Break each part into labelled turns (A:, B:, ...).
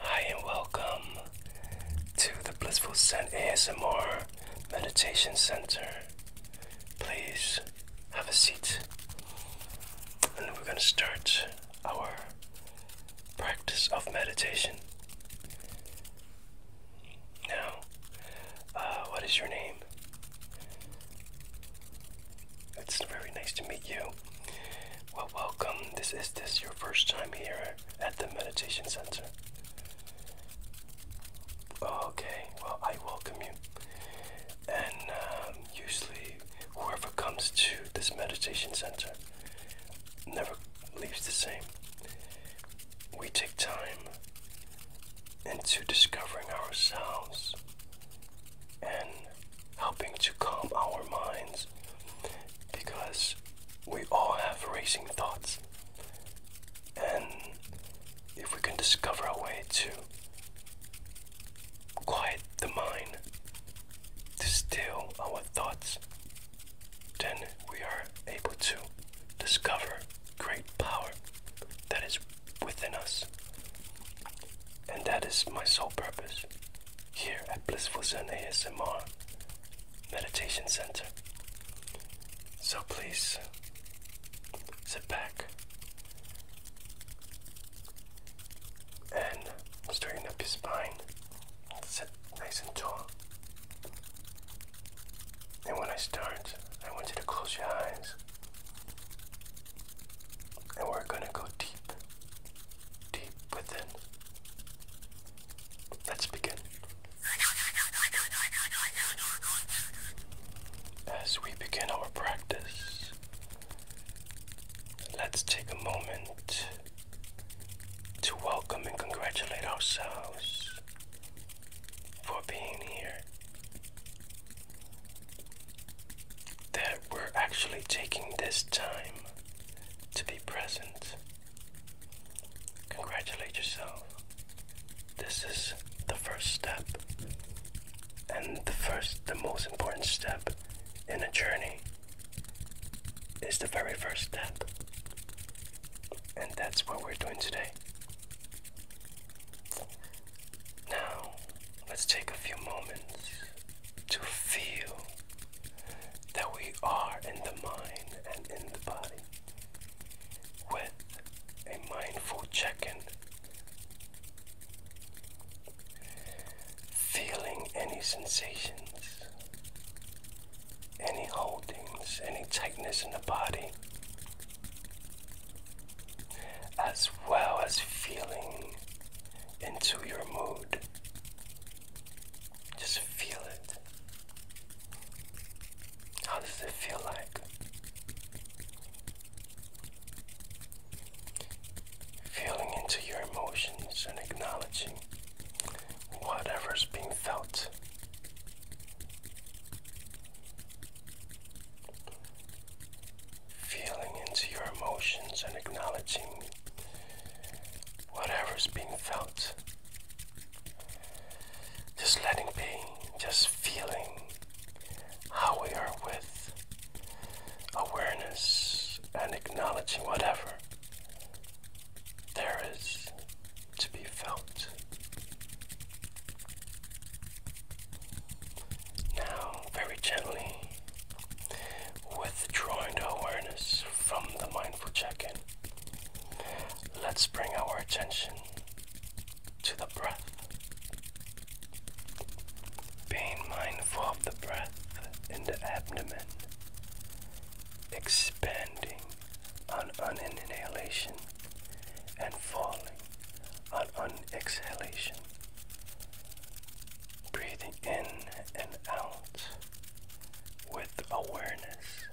A: Hi, and welcome to the Blissful Scent ASMR Meditation Center. Please have a seat, and we're going to start our practice of meditation. Now, uh, what is your name? It's very nice to meet you. Well, welcome. This is this your first time here at the meditation center. Okay. Well, I welcome you. And um, usually, whoever comes to this meditation center never leaves the same we take time into discovering ourselves and helping to calm our minds because we all have racing thoughts. And if we can discover a way to quiet the mind, to still
B: our thoughts, then we are able to discover great power that is
A: within us. And that is my sole purpose here at Blissful Zen ASMR Meditation Center. So please uh, sit back and straighten up your spine.
B: Sit nice and tall. And when I start, I want you to close your eyes. And we're going to go deep,
A: deep within. Let's begin. As we begin our practice, let's take a moment to welcome and congratulate ourselves for being here. That we're
B: actually taking this time to be present. Congratulate yourself. This is the first step, and the first, the most important step in a journey is the very first step. And that's what we're doing
A: today. Now, let's take a few moments to feel
B: that we are in the mind and in the body with a mindful
A: check Feeling any sensations, any holdings, any tightness in the body, as well as feeling into your mood. Just feel it. How does it feel like?
B: Feeling into your emotions and acknowledging whatever's being felt.
A: Feeling into your emotions and acknowledging whatever's being felt. Just letting be, just feeling how we are with awareness and acknowledging whatever
B: there is to be felt. Now, very gently, withdrawing the awareness from the mindful check in, let's bring
A: our attention to the breath. Being mindful of the breath in the abdomen, expanding on an inhalation and falling on an exhalation. Breathing in and out with awareness.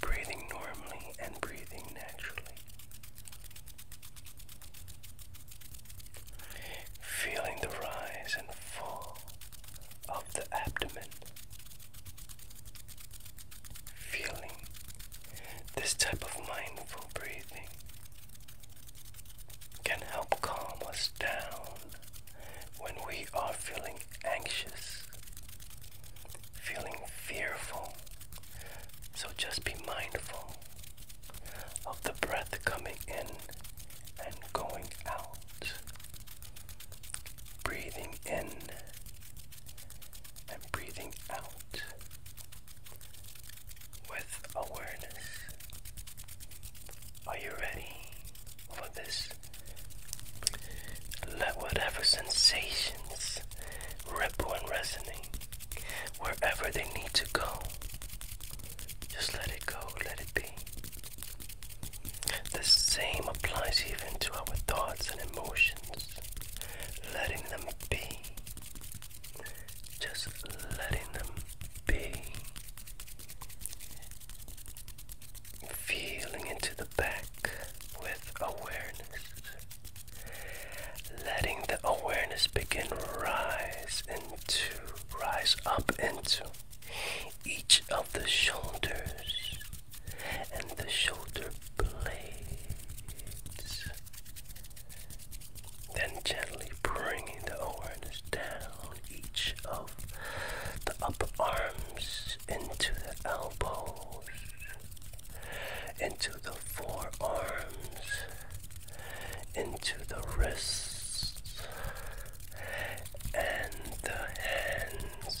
A: Breathing normally and breathing naturally. Feeling the rise and fall of the abdomen feeling this type of mindful breathing can help calm us down when we are feeling anxious, feeling fearful. So just be mindful of the breath coming in and going out. Breathing in and breathing out with awareness. Are you ready for this? Let whatever sensations ripple and resonate wherever they need to go. Just let it go, let it be. The same applies even to our thoughts and emotions letting them be, just letting them be, feeling into the back with awareness, letting the awareness begin rise into, rise up into each of the shoulders and the shoulder blades. Then gently bringing the awareness down each of the upper arms into the elbows, into the forearms, into the wrists,
B: and the hands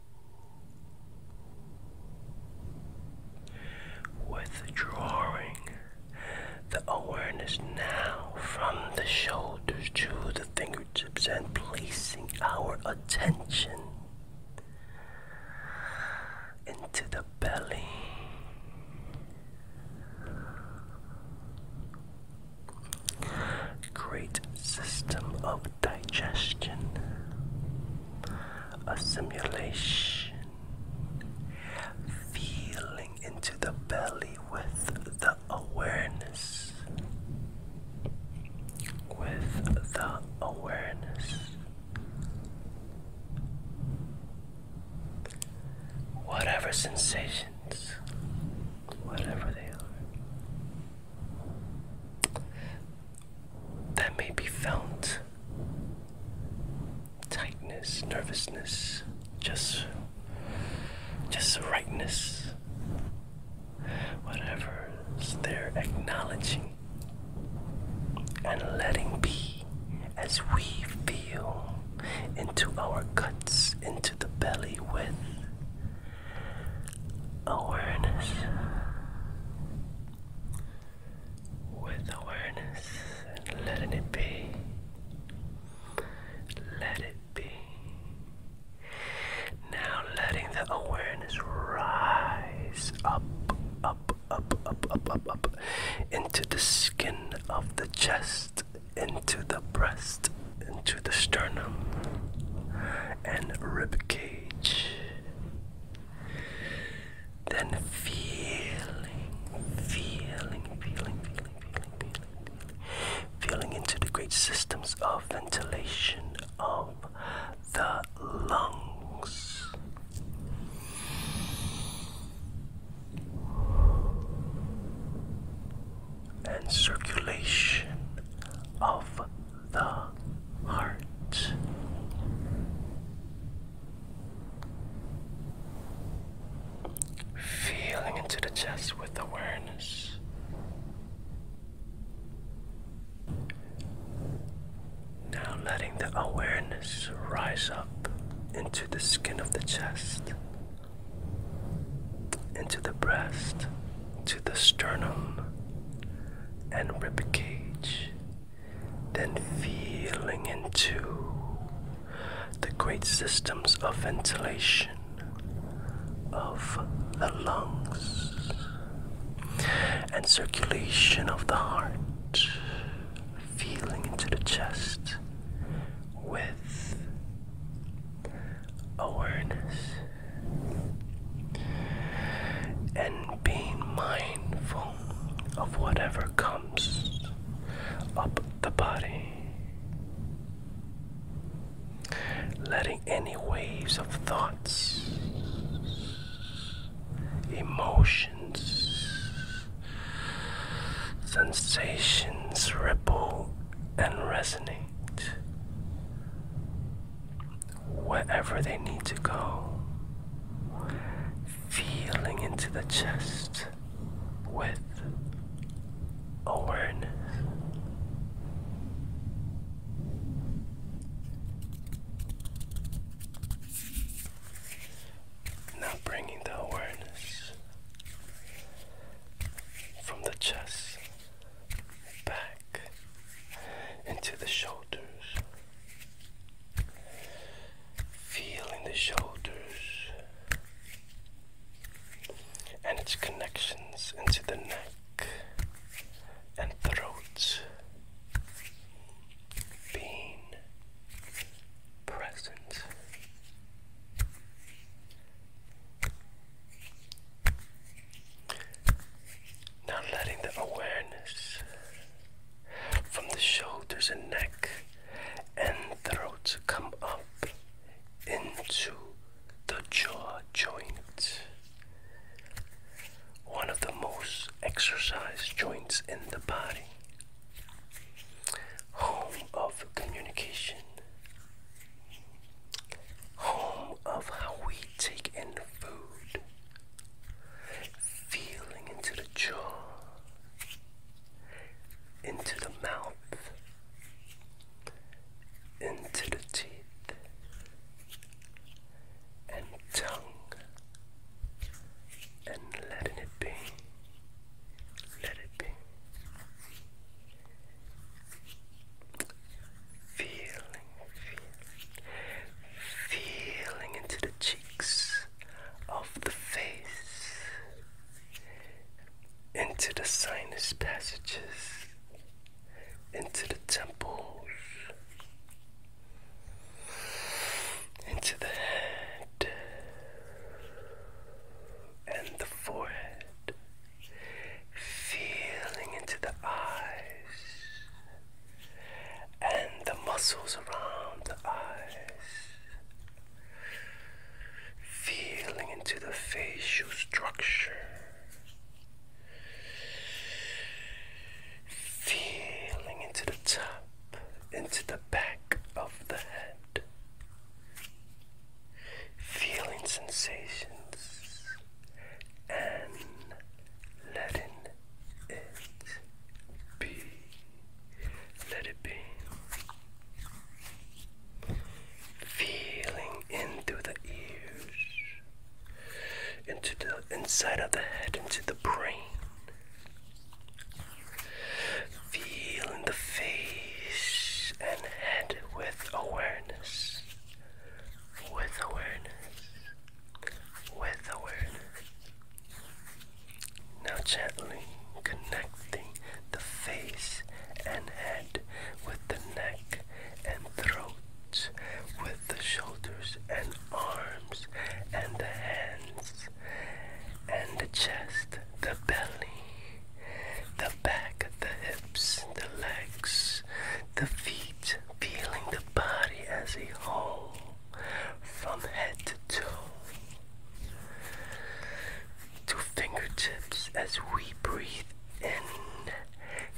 A: Withdrawing the awareness now from the shoulders to the fingertips and placing our attention into the belly great system of digestion, assimilation, feeling into the belly with the awareness, with the awareness. Whatever sensations, whatever they are, that may be felt tightness, nervousness, just just rightness. Whatever they're acknowledging and letting be as we feel into our guts, into the belly with awareness.
B: With awareness and letting it be. Let it be. Now letting the
A: awareness rise up, up, up, up, up, up, up, into the skin of the chest, into the breast, into the sternum, and rib cage then feeling, feeling, feeling, feeling, feeling, feeling, feeling into the great systems of ventilation of the lungs. And circulation of the heart. Feeling into the chest with awareness. Now letting the awareness rise up into the skin of the chest, into the breast, to the sternum, and rib cage, then feeling into the great systems of ventilation of the lungs and circulation of the heart, feeling into the chest
B: with awareness
A: and being mindful of whatever comes up the body. Letting any waves of thoughts, emotions, sensations ripple and resonate wherever they need to go. Feeling into the chest with awareness. Now bringing the awareness from the chest back into the shoulders, feeling the shoulders and its connections into the neck and throat, being present. Now letting the awareness from the shoulders and neck and throat come up into the jaw joint. One of the most exercised joints in the body. Home of communication. Home of how we Take in the food, feeling into the jaw, into the mouth, into the teeth, and tongue, and letting it be, let it be. Feeling, feeling, feeling into the cheeks of the face, into the sinus passages, into the temples, into the head and the forehead feeling into the eyes and the muscles around the eyes, feeling into the facial structure, feeling into the top, into the back of the head. Feeling sensations and letting it be. Let it be. Feeling in the ears, into the inside of the head, into the brain. Feeling the face and head with awareness with awareness, with awareness. Now gently connecting the face and head with the neck and throat, with the shoulders and arms and the hands and the chest, the belly, the back, the hips, the legs, the feet, feeling the body as a whole, from head to toe, to fingertips as we breathe in,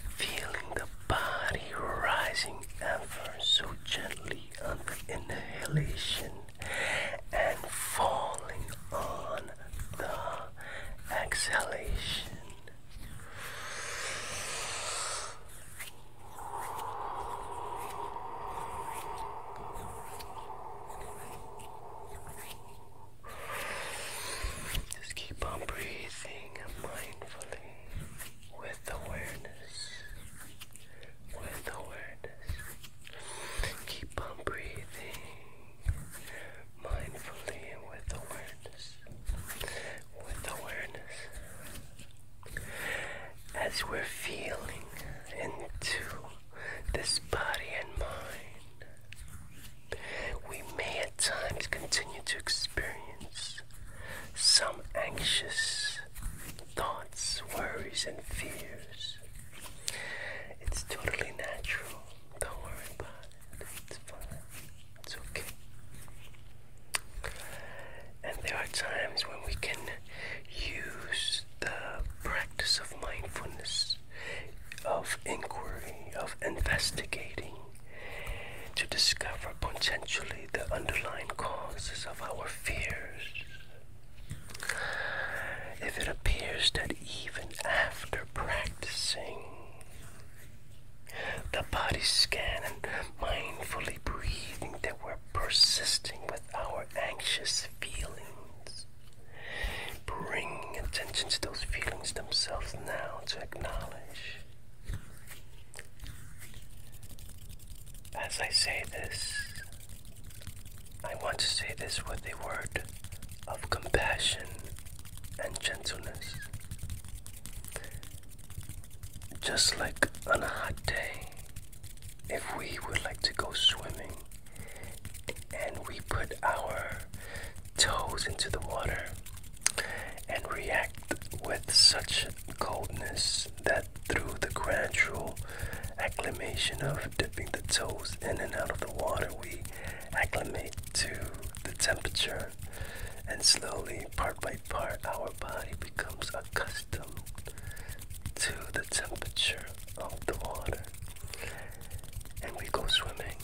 A: feeling the body rising ever so gently on the inhalation and falling on the exhalation. Just keep on breathing mindfully with awareness. With awareness. Keep on breathing mindfully with awareness with awareness, as we're feeling into this body and mind, we may at times continue to experience some anxious thoughts, worries, and fears. It's totally natural. Don't it's fine. It's okay. And there are times when we can use the practice of mindfulness, of inquiry, of investigating to discover potentially the underlying causes of our fears. If it appears that even after practicing, the body scan and mindfully breathing that we're persisting with our anxious feelings. Bringing attention to those feelings themselves now to acknowledge. As I say this, I want to say this with a word of compassion and gentleness. Just like on a hot day, if we would like to go swimming and we put our toes into the water and react with such coldness that through the gradual acclimation of dipping the toes in and out of the water, we acclimate to the temperature and slowly, part by part, our body becomes accustomed to the temperature of the water. And we go swimming,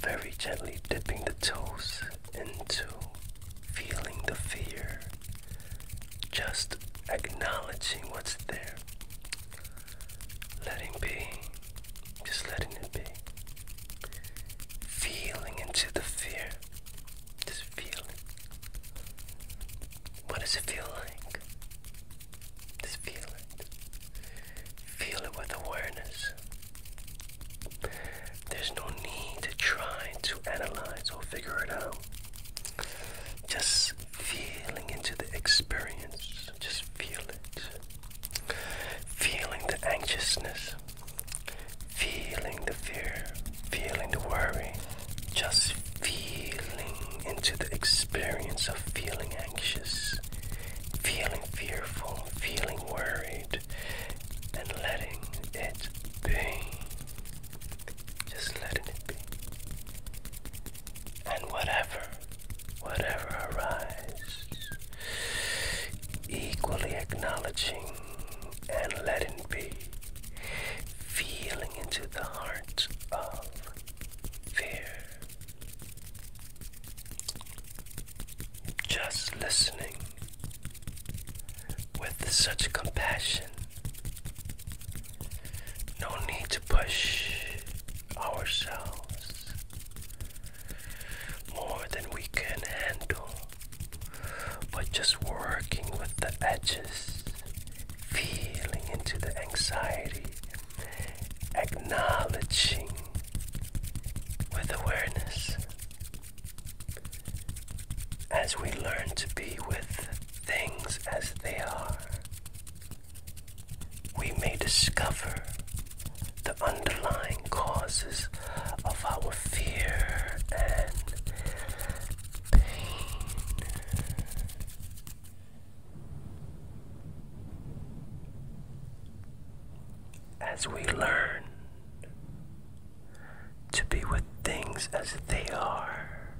A: very gently dipping the toes into feeling the fear, just acknowledging what's there letting be, just letting it be. Feeling into the fear, just feeling. What does it feel like? Just feel Feel it with awareness. There's no need to try to analyze or figure it out. Just feeling into the experience. Just feel it. Feeling the anxiousness, feeling the fear, feeling the worry. Just feeling into the experience of feeling anxious, feeling fearful, feeling worried, and letting it be. Just letting it be. And whatever whatever arises, equally acknowledging and letting be, feeling into the heart of fear. Just listening with such compassion. No need to push, ourselves more than we can handle but just working with the edges, feeling into the anxiety, acknowledging with awareness. As we learn to be with things as they are, we may discover the underlying causes of our fear and pain. As we learn to be with things as they are,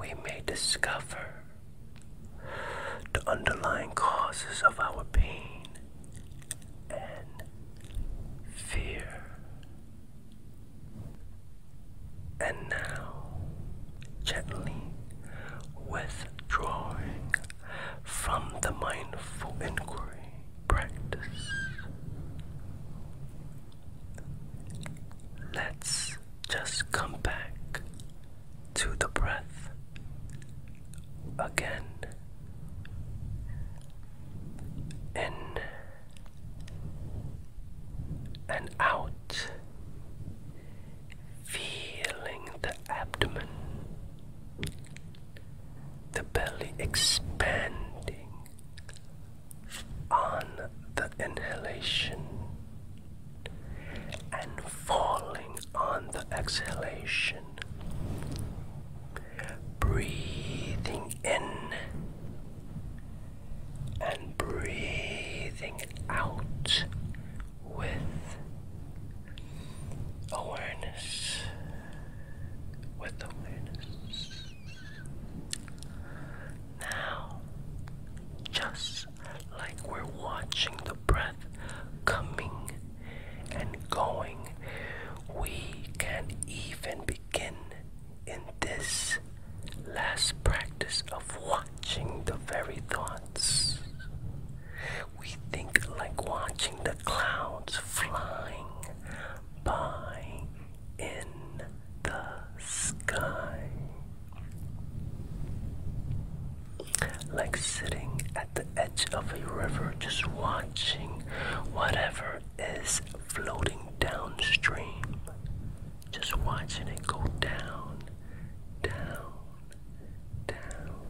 A: we may discover the underlying causes of our pain and fear. And now, gently withdrawing from the mindful inquiry practice, let's just come back to the breath again. In and out, feeling the abdomen, the belly expanding on the inhalation and falling on the exhalation.
B: Breathing in and breathing
A: out with awareness. With awareness. Now, just like we're watching the breath coming and going. We can't even begin in this last practice of watching the very thoughts. We think like watching the clouds flying
B: by in the sky. Like sitting at the edge of a river, just watching whatever is floating downstream. Just watching it go down, down, down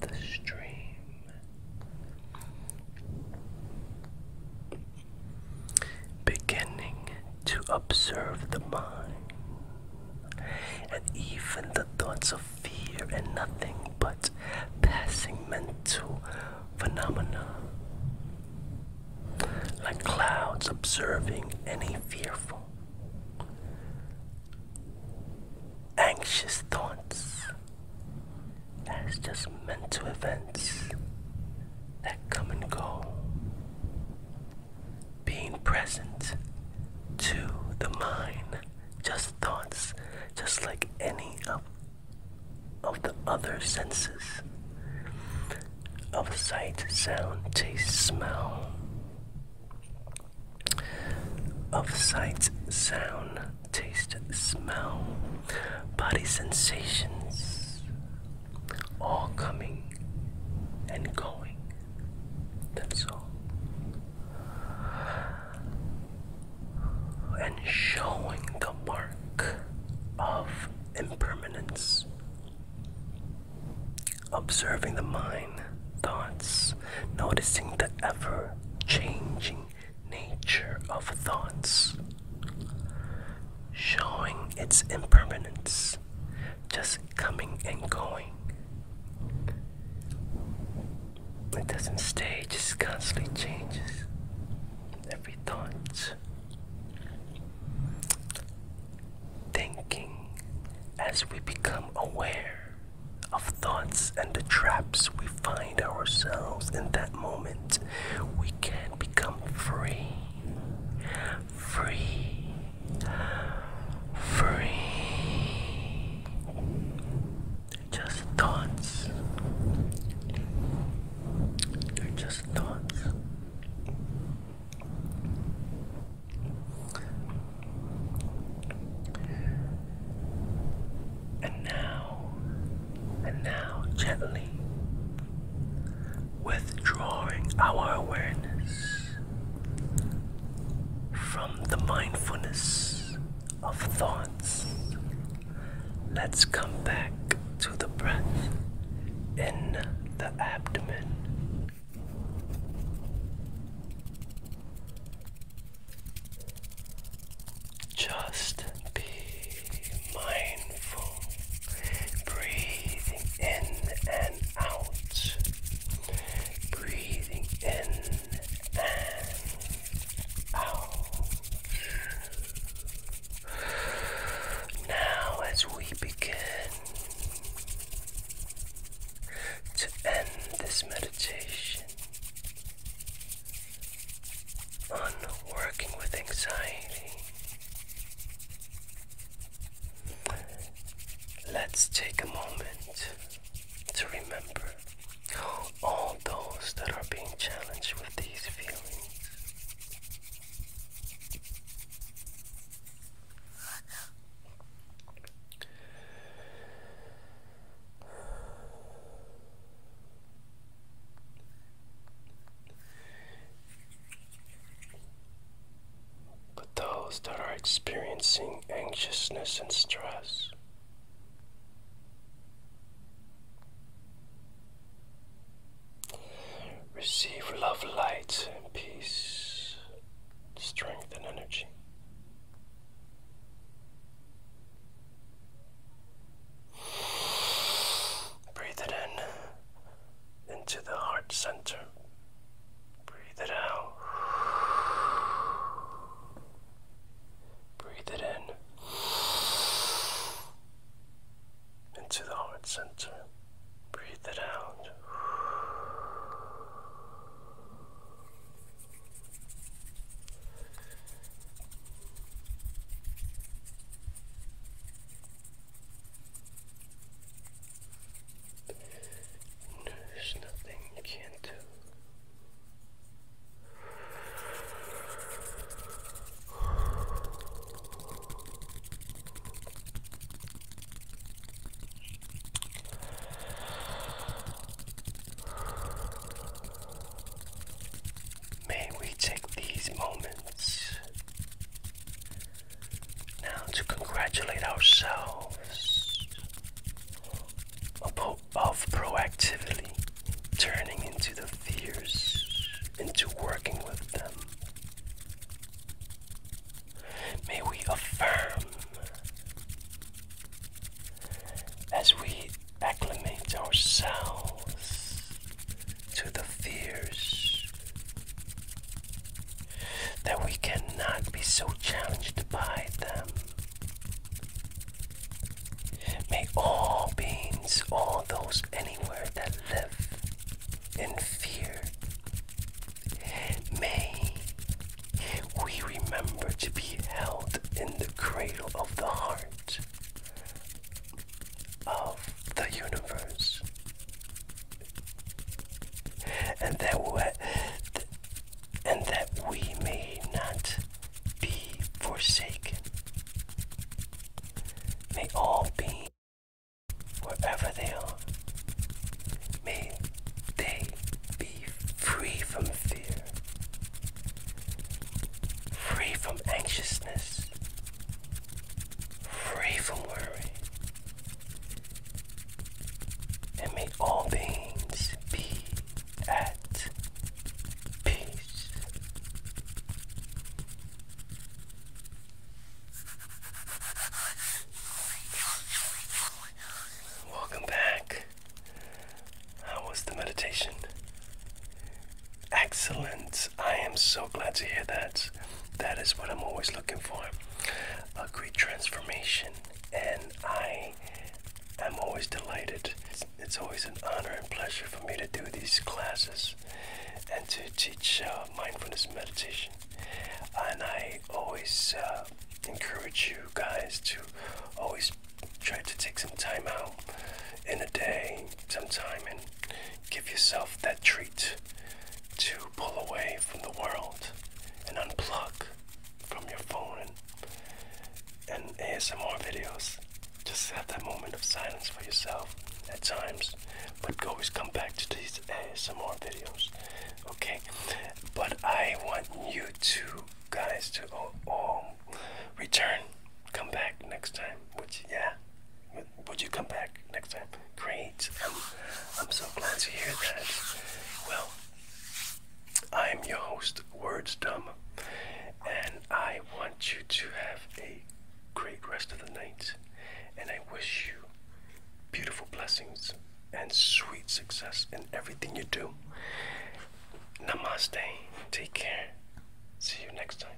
B: the stream. Beginning
A: to observe the mind and even the thoughts of fear and nothing but passing mental phenomena. Like clouds observing any fearful, anxious thoughts as just mental events that come and go being present to the mind, just thoughts, just like any of, of the other senses of sight, sound, taste, smell. Of sight, sound, taste, smell, body sensations, all coming and going that's all. And showing the mark of impermanence. Observing the mind, thoughts, noticing the ever changing nature of thoughts. Showing its impermanence, just coming and going, it doesn't stay, it just constantly changes. Every thought, thinking, as we become aware of thoughts and the traps we find ourselves in that moment, we can become free free, free, just thoughts, they're just thoughts. And now, and now, gently withdrawing our awareness from the mindfulness of thoughts, let's come back to the breath in the abdomen. Just be mindful, breathing in and out Breathing in and out. Now, as we begin to end this meditation on working with anxiety. Let's take a moment to remember all those that are being challenged with these feelings but those that are experiencing anxiousness and stress. Receive love, light, and peace, strength, and energy. Breathe it in into the heart center. Breathe it out. Breathe it in. Into the heart center. Breathe it out.
B: There's nothing you can't do.
A: May we take these moments now to congratulate ourselves of proactively turning into the fears, into working with them. May we affirm as we acclimate ourselves to the fears that we cannot be so challenged by them. May all beings, all those anywhere that live in fear, may we remember to be held in the cradle of the heart of the universe and that th and that we may not be forsaken. May all be wherever they are. May they be free from fear, free from anxiousness, free from worry, and may all beings be at peace. Welcome back. How was the meditation? Excellent. I am so glad to hear that. That is what I'm always looking for. A great transformation. And I am always delighted. It's, always an honor and pleasure for me to do these classes and to teach uh, mindfulness meditation. And I always uh, encourage you guys to always try to take some time out in a day, some time, and give yourself that treat to pull away from the world and unplug from your phone and, and ASMR videos. Just have that moment of silence for yourself at times, but always come back to these ASMR videos. Okay,
B: but I want you two guys to all, return, come back next time. Would you, yeah? would you come back next time? Great. I'm so glad to hear that. Well, I'm your host, Words Dumb, and I want you to have a great rest of the night. And I wish you beautiful blessings and sweet success in everything you do. Namaste. Take care. See you next time.